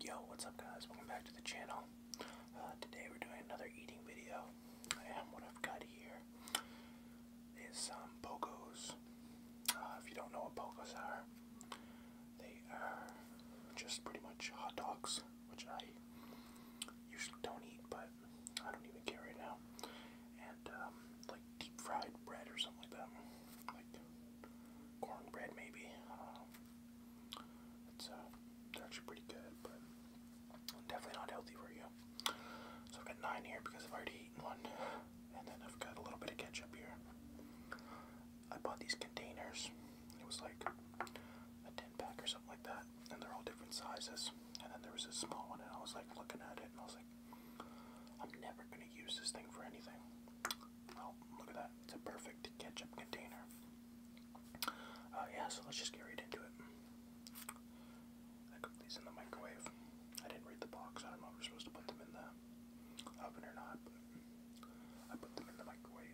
Yo, what's up guys? Welcome back to the channel. Uh, today we're doing another eating video. And what I've got here is some pocos. Uh, if you don't know what pocos are, they are just pretty much hot dogs, which I usually don't eat, but I don't even care right now. And um, like deep fried bread or something like that cornbread maybe. I don't know. It's uh, they're actually pretty good, but definitely not healthy for you. So I've got nine here because I've already eaten one, and then I've got a little bit of ketchup here. I bought these containers. It was like a ten pack or something like that, and they're all different sizes. And then there was a small one, and I was like looking at it, and I was like, I'm never gonna use this thing for anything. Oh, look at that. It's a perfect ketchup container. Uh, yeah, so let's just get right into it. I cooked these in the microwave. I didn't read the box. I don't know if we're supposed to put them in the oven or not, but I put them in the microwave.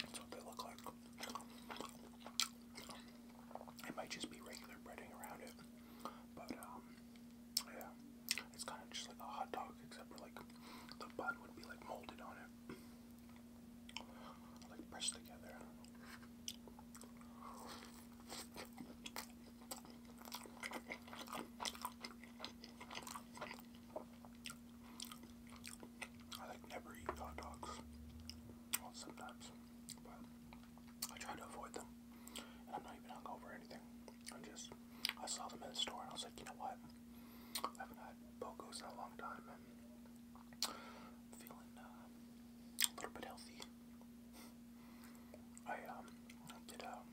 That's what they look like. It might just be regular breading around it, but um, yeah, it's kind of just like a hot dog, except like the bun would be like molded on it, like pressed together. I like never eat hot dogs. Well, sometimes, but I try to avoid them. And I'm not even hungover or anything. I'm just, I saw them in the store and I was like, you know what? I haven't had Bocos in a long time and feeling uh, a little bit healthy. I um, did um,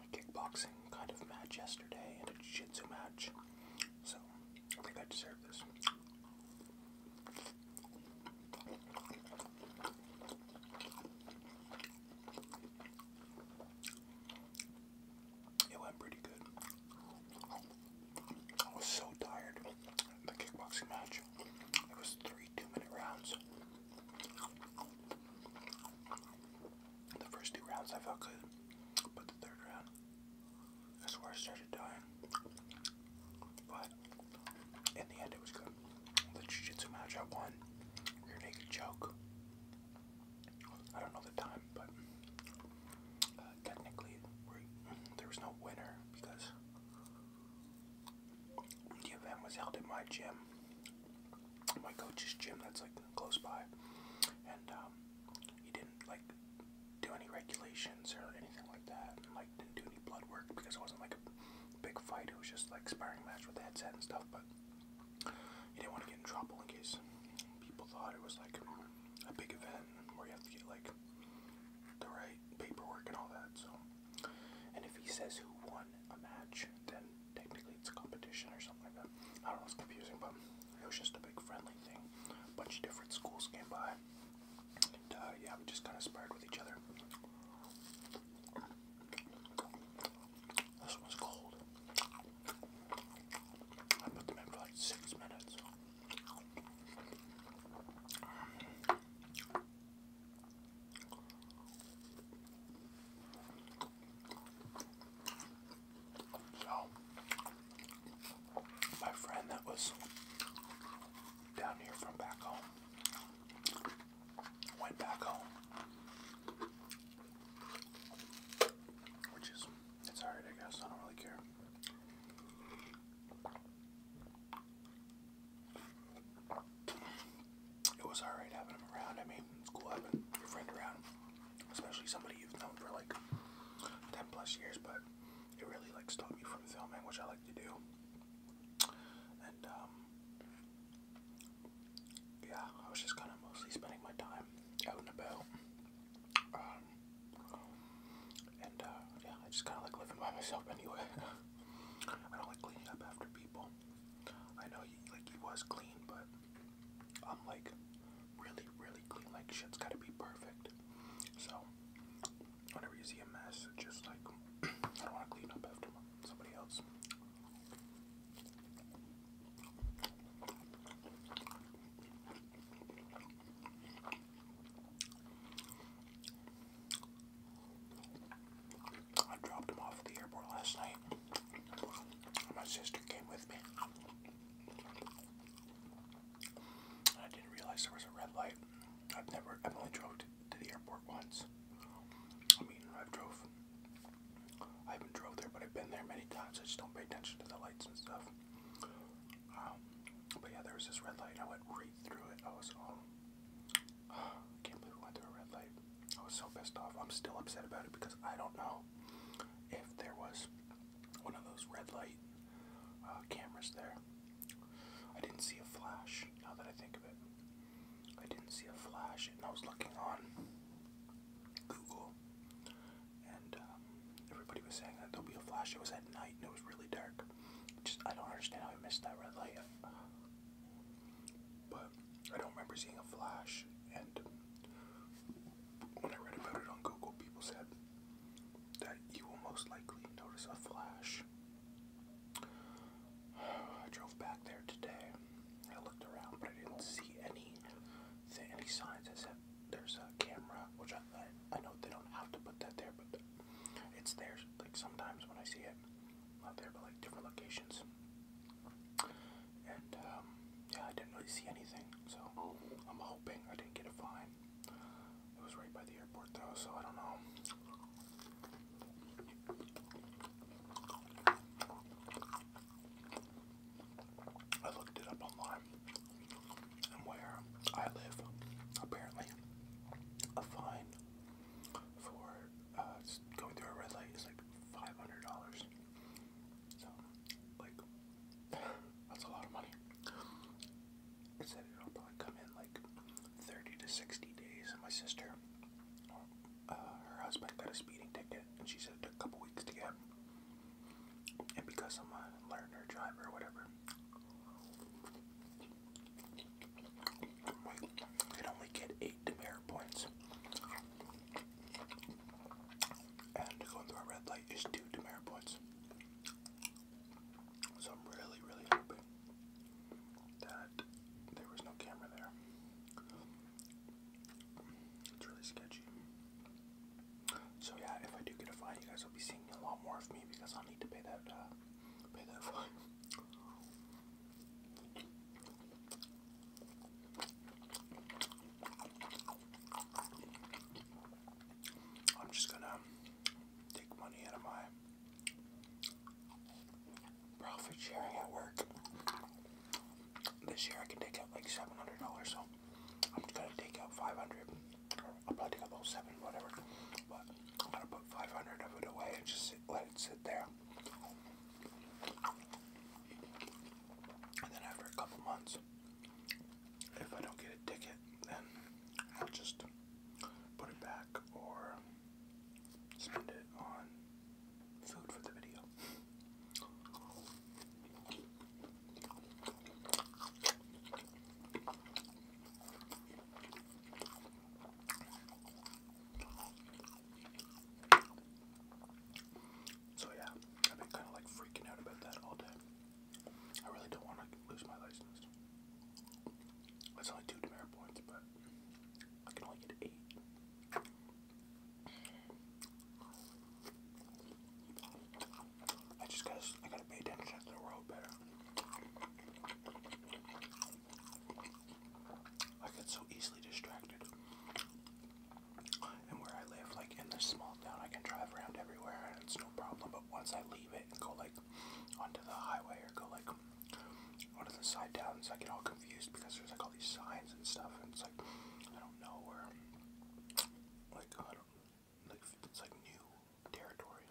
a kickboxing kind of match yesterday and a jiu jitsu match. So I think I deserve this. It went pretty good. I was so tired. The kickboxing match. It was three two-minute rounds. The first two rounds I felt good, but the third round that's where I started dying. But in the end, it was good. The Jiu Jitsu match, I won. Rear naked choke. I don't know the time, but uh, technically, there was no winner because the event was held at my gym, my coach's gym that's like close by, and um, he didn't like do any regulations or anything like that, and like didn't do any blood work because it wasn't like a big fight. It was just like sparring match with the headset and stuff. But you didn't want to get in trouble in case people thought it was like a big event where you have to get like the right paperwork and all that. So, and if he says who won a match, then technically it's a competition or something like that. I don't know. It's confusing, but. It was just a big friendly thing. A bunch of different schools came by. And uh, yeah, we just kind of sparred with each other. This one's cold. I put them in for like six minutes. So, my friend that was down here from back home went back home, which is it's alright, I guess. I don't really care. It was alright having him around. I mean, it's cool having your friend around especially somebody you've known for like 10 plus years, but it really like stopped me from filming, which I like to do. And um, yeah, I was just kind of mostly spending my time out and about. Um, and uh, yeah, I just kind of like living by myself anyway. I don't like cleaning up after people. I know he like he was clean, but I'm like really, really clean. Like shit's gotta be perfect. So whenever you see a mess, just like I want to clean up after somebody else. I dropped him off at the airport last night. My sister came with me. I didn't realize there was a red light. I've never, I've only drove to, the airport once. I mean, I've drove, I haven't drove there, but I've been there many times. I just don't pay attention to the lights and stuff. Um, but yeah, there was this red light. I went right through it. I was, um, can't believe I went through a red light. I was so pissed off. I'm still upset about it because I don't know if there was one of those red light uh, cameras there. I didn't see a flash, now that I think of it. I didn't see a flash, and I was looking on Google, and um, everybody was saying that there'll be a flash. It was at night, and it was really dark. Just I don't understand how I missed that red light. But I don't remember seeing a flash, and when I read about it on Google, people said that you will most likely notice a flash. I drove back there today. I looked around, but I didn't see any any signs. I said there's a camera, which I, I, I know they don't have to put that there, but it's there. Like sometimes when I see it, not there, but like different locations. And um, yeah, I didn't really see anything, so I'm hoping I didn't get a fine. It was right by the airport though, so I don't know. I looked it up online, and where I live, apparently, a fine for uh, going through a red light is like $500. So, like, that's a lot of money. It said it'll probably come in like 30 to 60 days. my sister, uh, her husband got a speeding ticket, and she said a couple weeks to get. And because I'm a learner driver whatever, like, you only get eight demerit points. And going through a red light is two demerit points. So I'm really, really hoping that there was no camera there. It's really sketchy. So yeah, if I do get a fine, you guys will be seeing a lot more of me because I'll need to pay that uh, pay that fine. I'm just gonna take money out of my profit sharing at work. This year I can take out like $700, so I'm just gonna take out 500 or I'll probably take out those seven, whatever. But I'm gonna put 500 of it away and just let it sit there. And then after a couple months, if I don't get a ticket, then I'll just put it back or spend it on food for the video. So yeah, I've been kind of like freaking out about that all day. I really don't want to lose my license. It's only two demerit points, but I can only get eight. I just got I gotta pay the road better. I get so easily distracted. And where I live, like in this small town, I can drive around everywhere and it's no problem. But once I leave it and go like onto the highway or go like onto the side towns, I get all confused because there's like all these signs and stuff, and it's like I don't know where. Like I don't like it's like new territory,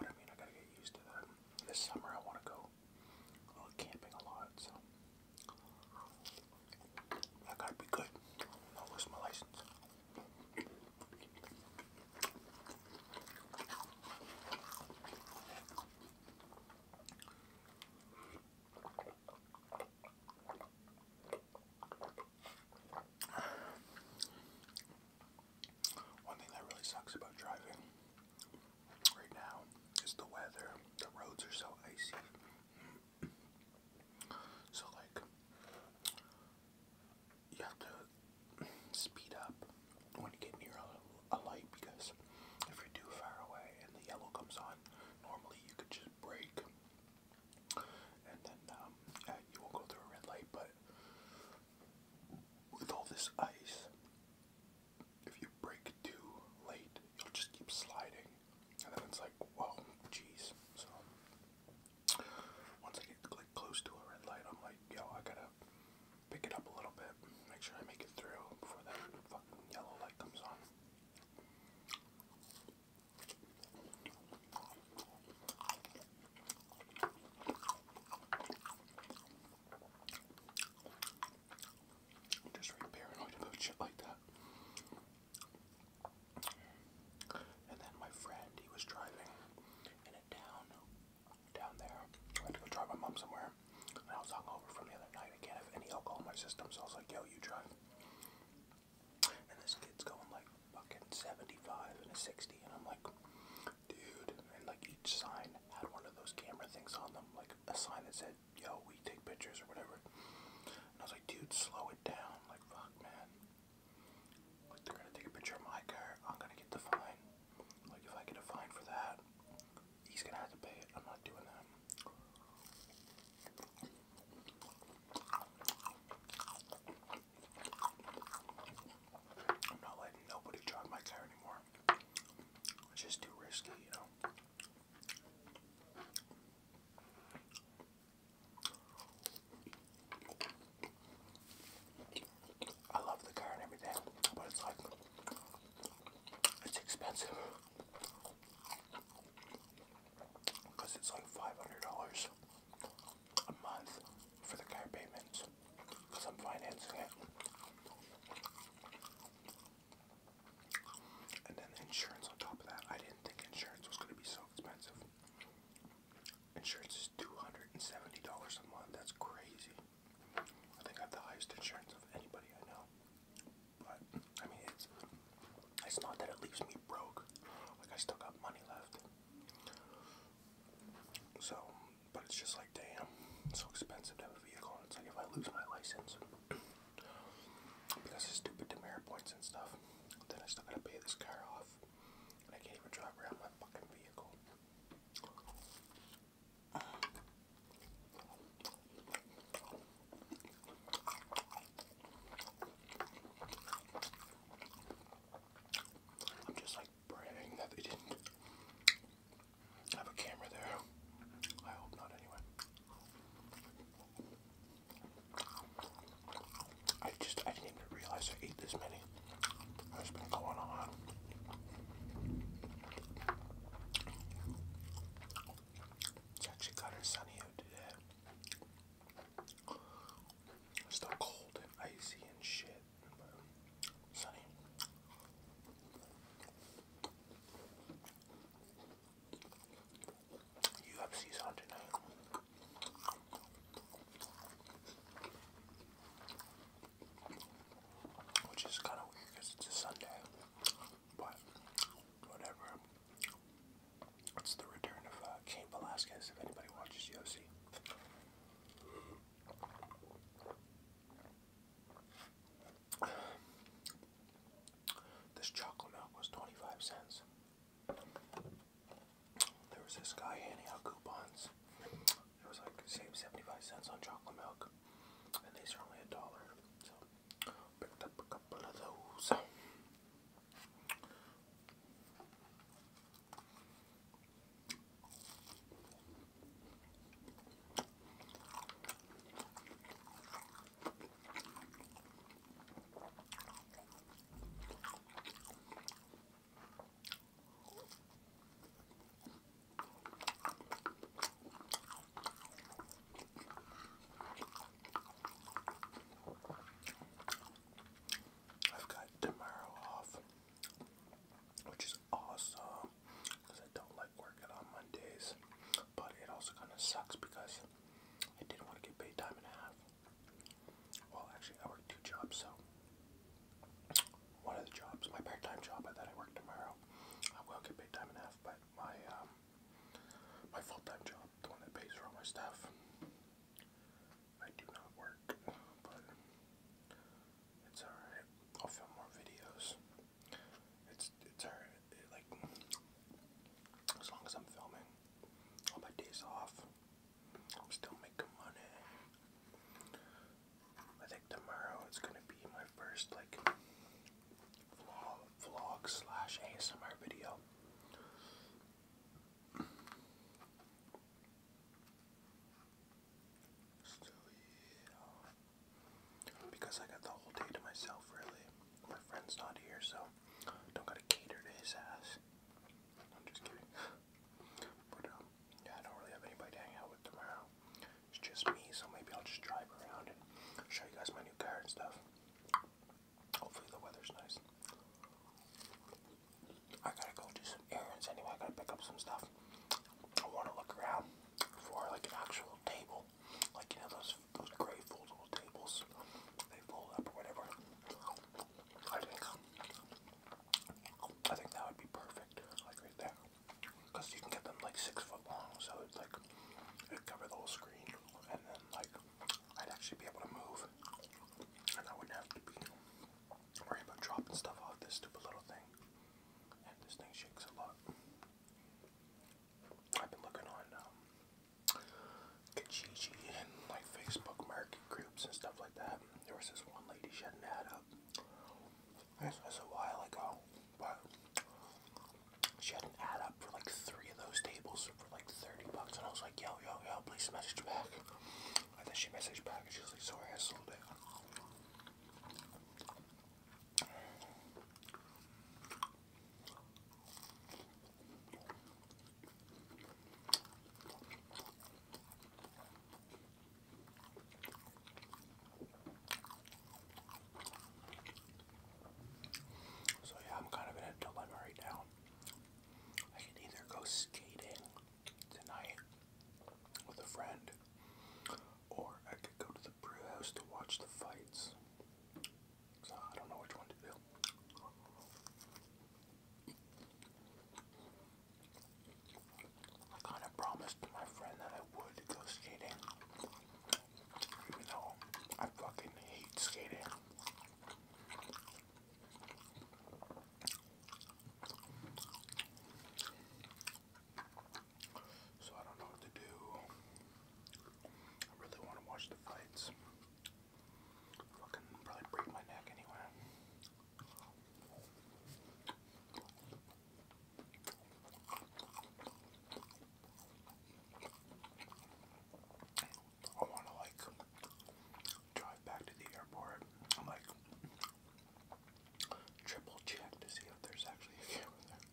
but I mean I gotta get used to that. This summer I want to go I oh, am camping a lot, so I gotta be good. I'll lose my license. One thing that really sucks about driving right now is the weather. The roads are so icy. So, like, you have to speed up when you get near a, a light because if you're too far away and the yellow comes on, normally you could just brake and then um, you go through a red light. But with all this ice, if you brake too late, you'll just keep sliding, and then it's like, whoa, jeez. So once I get like close to a red light, I'm like, yo, I gotta pick it up a little bit, make sure I make it through before that fucking yellow light comes on. I'm just very paranoid about shit like that. And then my friend, he was driving in a town down there. I had to go drive my mom somewhere. And I was hungover from the other night. I can't have any alcohol in my system, so I was like, yo, you drive. And this kid's going like fucking 75 and a 60, and I'm like, dude. And like each sign had one of those camera things on them, like a sign that said yo, we take pictures or whatever. I was like, dude, slow it down. Like, fuck, man. Like, they're gonna take a picture of my car. I'm gonna get the fine. Like, if I get a fine for that, he's gonna have to pay it. I'm not doing that. I'm not letting nobody drive my car anymore. It's just too risky, you know. I love the car and everything, but it's like it's expensive because it's like five hundred dollars a month for the car payments because I'm financing it. And then the insurance on top of that. I didn't think insurance was going to be so expensive. Insurance is $270 a month. That's crazy. I think I have the highest insurance of anybody I know. But, I mean, it's, it's not that it leaves me broke. Like, I still got money left. So, but it's just like, damn, it's so expensive vehicle, and it's like if I lose my license because of stupid demerit points and stuff, then I still gotta pay this car off, and I can't even drive around my fucking vehicle. I'm just like praying that they didn't I have a camera there. I hope not, anyway. I just, I didn't even realize I ate this many. It's been going on. It's actually kind of sunny out today. still cold and icy and shit, sunny. UFC's on tonight. Which is kind of weird because it's a Sunday. But whatever. It's the return of uh, Cain Velasquez if anybody watches UFC. This chocolate milk was 25 cents. There was this guy handing out coupons. It was like save 75 cents on chocolate milk. And these are only a dollar. So picked up a couple of those. I've got tomorrow off, which is awesome because I don't like working on Mondays, but it also kind of sucks because I didn't want to get paid time and a half. Well, actually, I worked two jobs, so one of the jobs, my part-time job that I work tomorrow, I will get paid time and a half, but my um, my full-time job, the one that pays for all my stuff, I do not work, but it's alright. I'll film more videos. It's it's alright. It, like as long as I'm filming, all my days off, I'm still making money. I think tomorrow it's gonna be my first like vlog vlog slash ASMR video. Still, yeah because I got the whole day to myself, really. My friend's not here, so don't gotta cater to his ass. I'm just kidding. But, um, yeah, I don't really have anybody to hang out with tomorrow. It's just me, so maybe I'll just drive around and show you guys my new car and stuff. Hopefully the weather's nice. I gotta go do some errands anyway. I gotta pick up some stuff. I wanna look around for like an actual table, like you know those those gray foldable tables, they fold up or whatever. I think I think that would be perfect, like right there, because you can get them like six foot long, so it's like it'd cover the whole screen, and then like I'd actually be able to move, and I wouldn't have to be worried about dropping stuff off this stupid little thing this thing shakes a lot. I've been looking on um, Kijiji and like Facebook market groups and stuff like that. There was this one lady, she had an ad up. This was a while ago, but she had an ad up for like three of those tables for like 30 bucks. And I was like, yo, yo, yo, please message back. And then she messaged back and she was like, sorry, I sold it. So yeah, I'm kind of in a dilemma right now. I can either go skating tonight with a friend, or I could go to the brew house to watch the fights. So I don't know which one to do. I kind of promised my friend that I would go skating, even though I fucking hate skating. So I don't know what to do. I really want to watch the fights. Fucking probably break my neck anyway. I want to like drive back to the airport. I'm like, triple check to see if there's actually a camera there.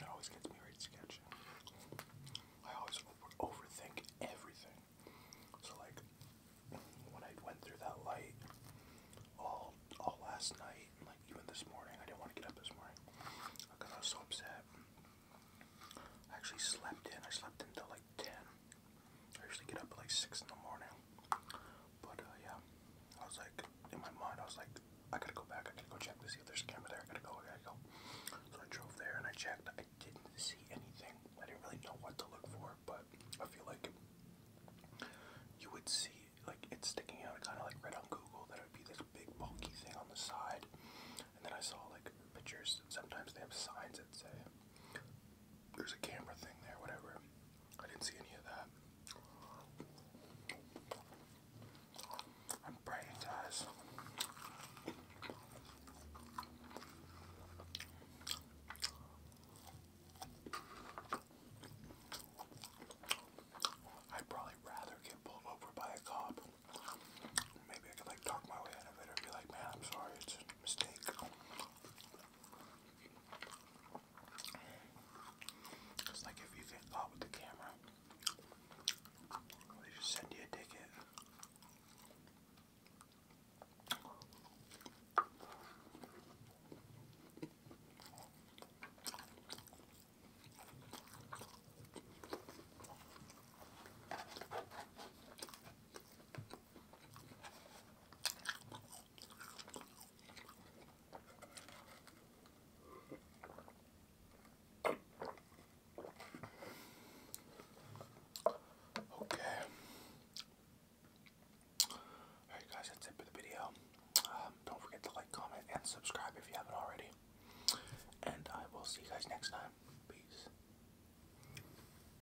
That always gets me right sketchy. I always overthink everything. So like when I went through that light all all last night and like even this morning, I didn't want to get up this morning because I was so upset. I actually slept in. I slept until 10. I usually get up at like 6 in the morning. But uh, yeah, I was like, in my mind, I was like, I gotta go back. I gotta go check to see if there's a camera there. I gotta go. I gotta go. So I drove there and I checked. I didn't see anything. I didn't really know what to look for, but I feel like you would see like it's sticking out. I kind of like read on Google that it would be this big bulky thing on the side, and then I saw like pictures. Sometimes they have signs that say there's a camera thing there, whatever. I didn't see any of that. I'm brain ties. I'd probably rather get pulled over by a cop. Maybe I could like talk my way out of it or be like, man, I'm sorry, it's a mistake. It's like if you get caught with the camera, they just send you a ticket. Okay. Alright guys, that's it for the video. Um, don't forget to like, comment, and subscribe if you haven't already. And I will see you guys next time. Peace.